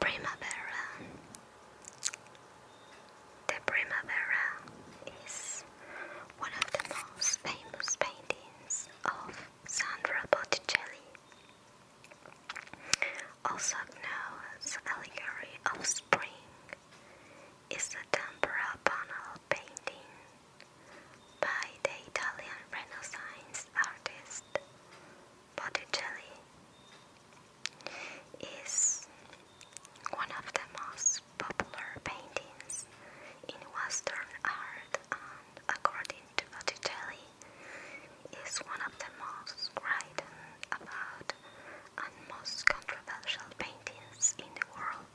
Primavera. The Primavera is one of the most famous paintings of Sandra Botticelli. Also known as allegory of spring, is a tempera panel painting by the Italian Renaissance artist Botticelli. Is one of the most popular paintings in Western art according to Botticelli, is one of the most written about and most controversial paintings in the world.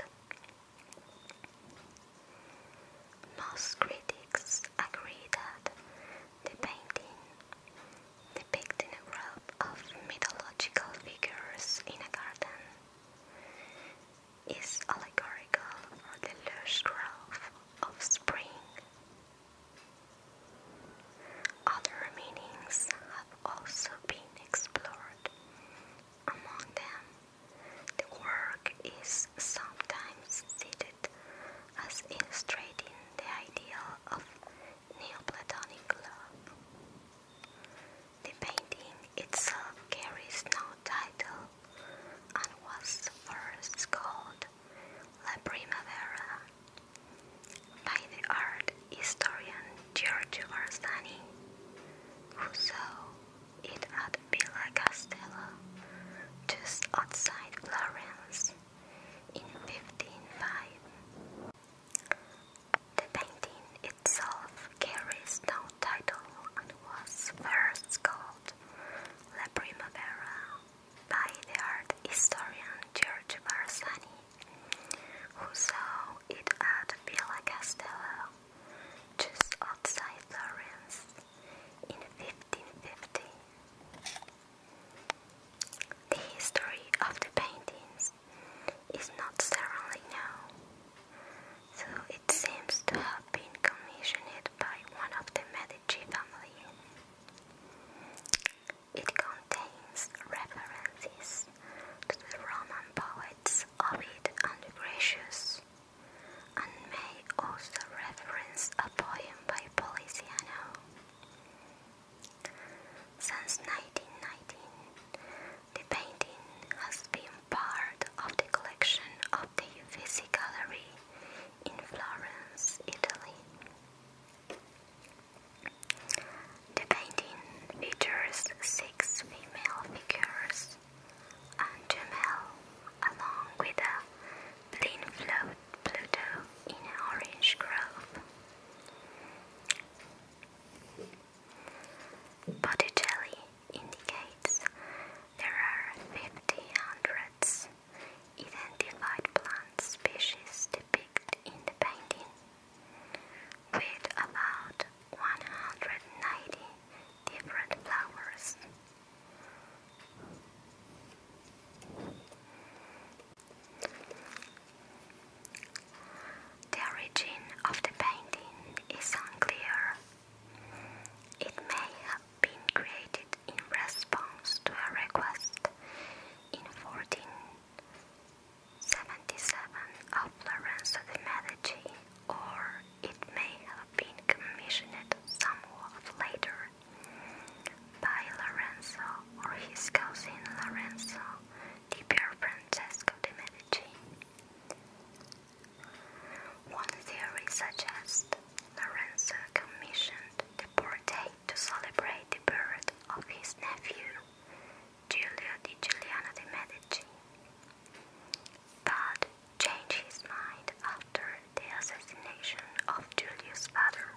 Most critics agree that the painting, depicting a group of mythological figures in a garden, is allegorical for the lush growth of spring. Other meanings have also been explored. Among them, the work is sometimes cited as illustrating the ideal of Neoplatonic love. The painting itself carries no title and was first called La Primavera by the art historian Giorgio Barzani, who saw it at Villa Castello, just outside Florence, in 1555. The painting itself carries no title and was first called La Primavera by the art historian Giorgio Barzani, who saw it at Villa Castello, just outside Florence, in 1550. The history of the paintings is not thoroughly known so it seems to have been commissioned by one of the Medici family. It contains references to the Roman poets Ovid and Lucretius, and may also reference a poem by Poliziano. Since 1919, the painting has been part of the collection of the Uffizi Gallery in Florence, Italy. The painting features six female figures and two male, along with a plain float Pluto in an orange grove. Botticelli indicates there are 50 hundreds identified plant species depicted in the painting, with about 190 different flowers. The origin of the painting is unclear. It may have been created in response to a request in 1477 of Lorenzo de' Medici, or it may have been commissioned somewhat later by Lorenzo or his cousin Lorenzo di Pier Francesco de' Medici. One theory suggests Lorenzo commissioned the portrait to celebrate the birth of his nephew, Giulio di Giuliano de' Medici, but changed his mind after the assassination of Giulio's father,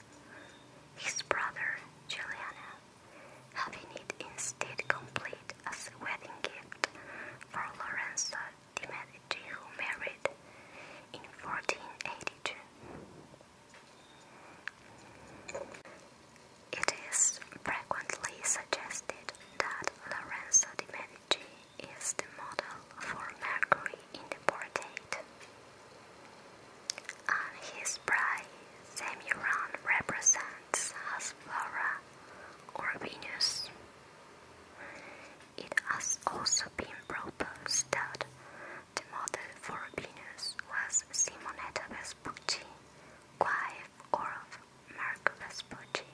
his brother Giuliano having it instead complete as a wedding gift for Lorenzo de' Medici who married in 1482. It is frequently suggested that Lorenzo de' Medici is the model for Mercury in the portrait, and his bride Semiron represents plants as Flora or Venus. It has also been proposed that the model for Venus was Simonetta Vespucci, wife of Marco Vespucci,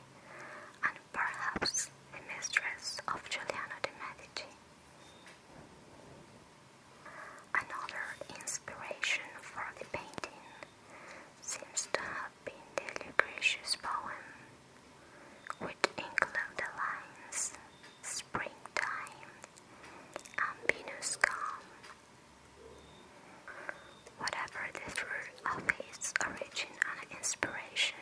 and perhaps the mistress of Giuliano de' Medici. Another inspiration for the painting seems to have been the Lucretius poem, which include the lines Springtime and Venus calm. Whatever the fruit of its origin and inspiration,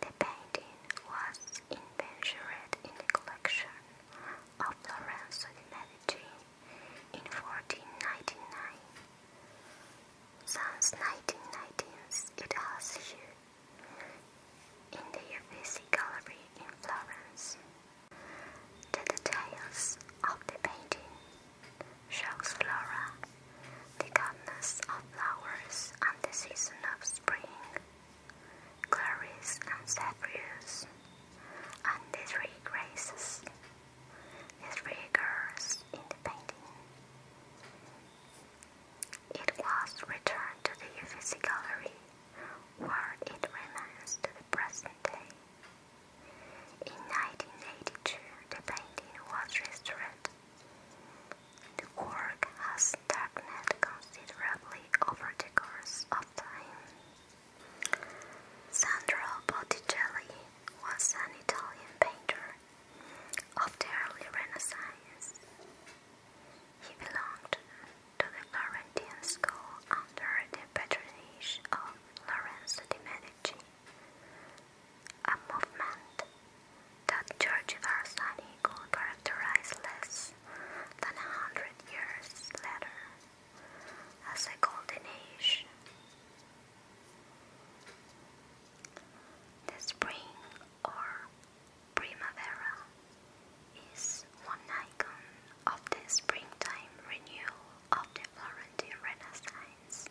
the painting was inventoried in the collection of Lorenzo de' Medici in 1499. Since 1919s, it has here in the Uffizi Gallery in Florence. The details of the painting shows flora, the goddess of flowers and the season of spring, Clarice and Zephyrus and the three graces, the three girls in the painting. It was returned to the Uffizi Gallery, where it remains to the present day. In 1982, the painting was restored. The work has darkened considerably over the course of time. Sandro Botticelli was an Italian painter of the early Renaissance. He belonged to the Florentine school under the patronage of Lorenzo de' Medici, a movement that Giorgio Barsani could characterize less than a hundred years later as a golden it, The spring or primavera is one icon of the springtime renewal of the Florentine Renaissance.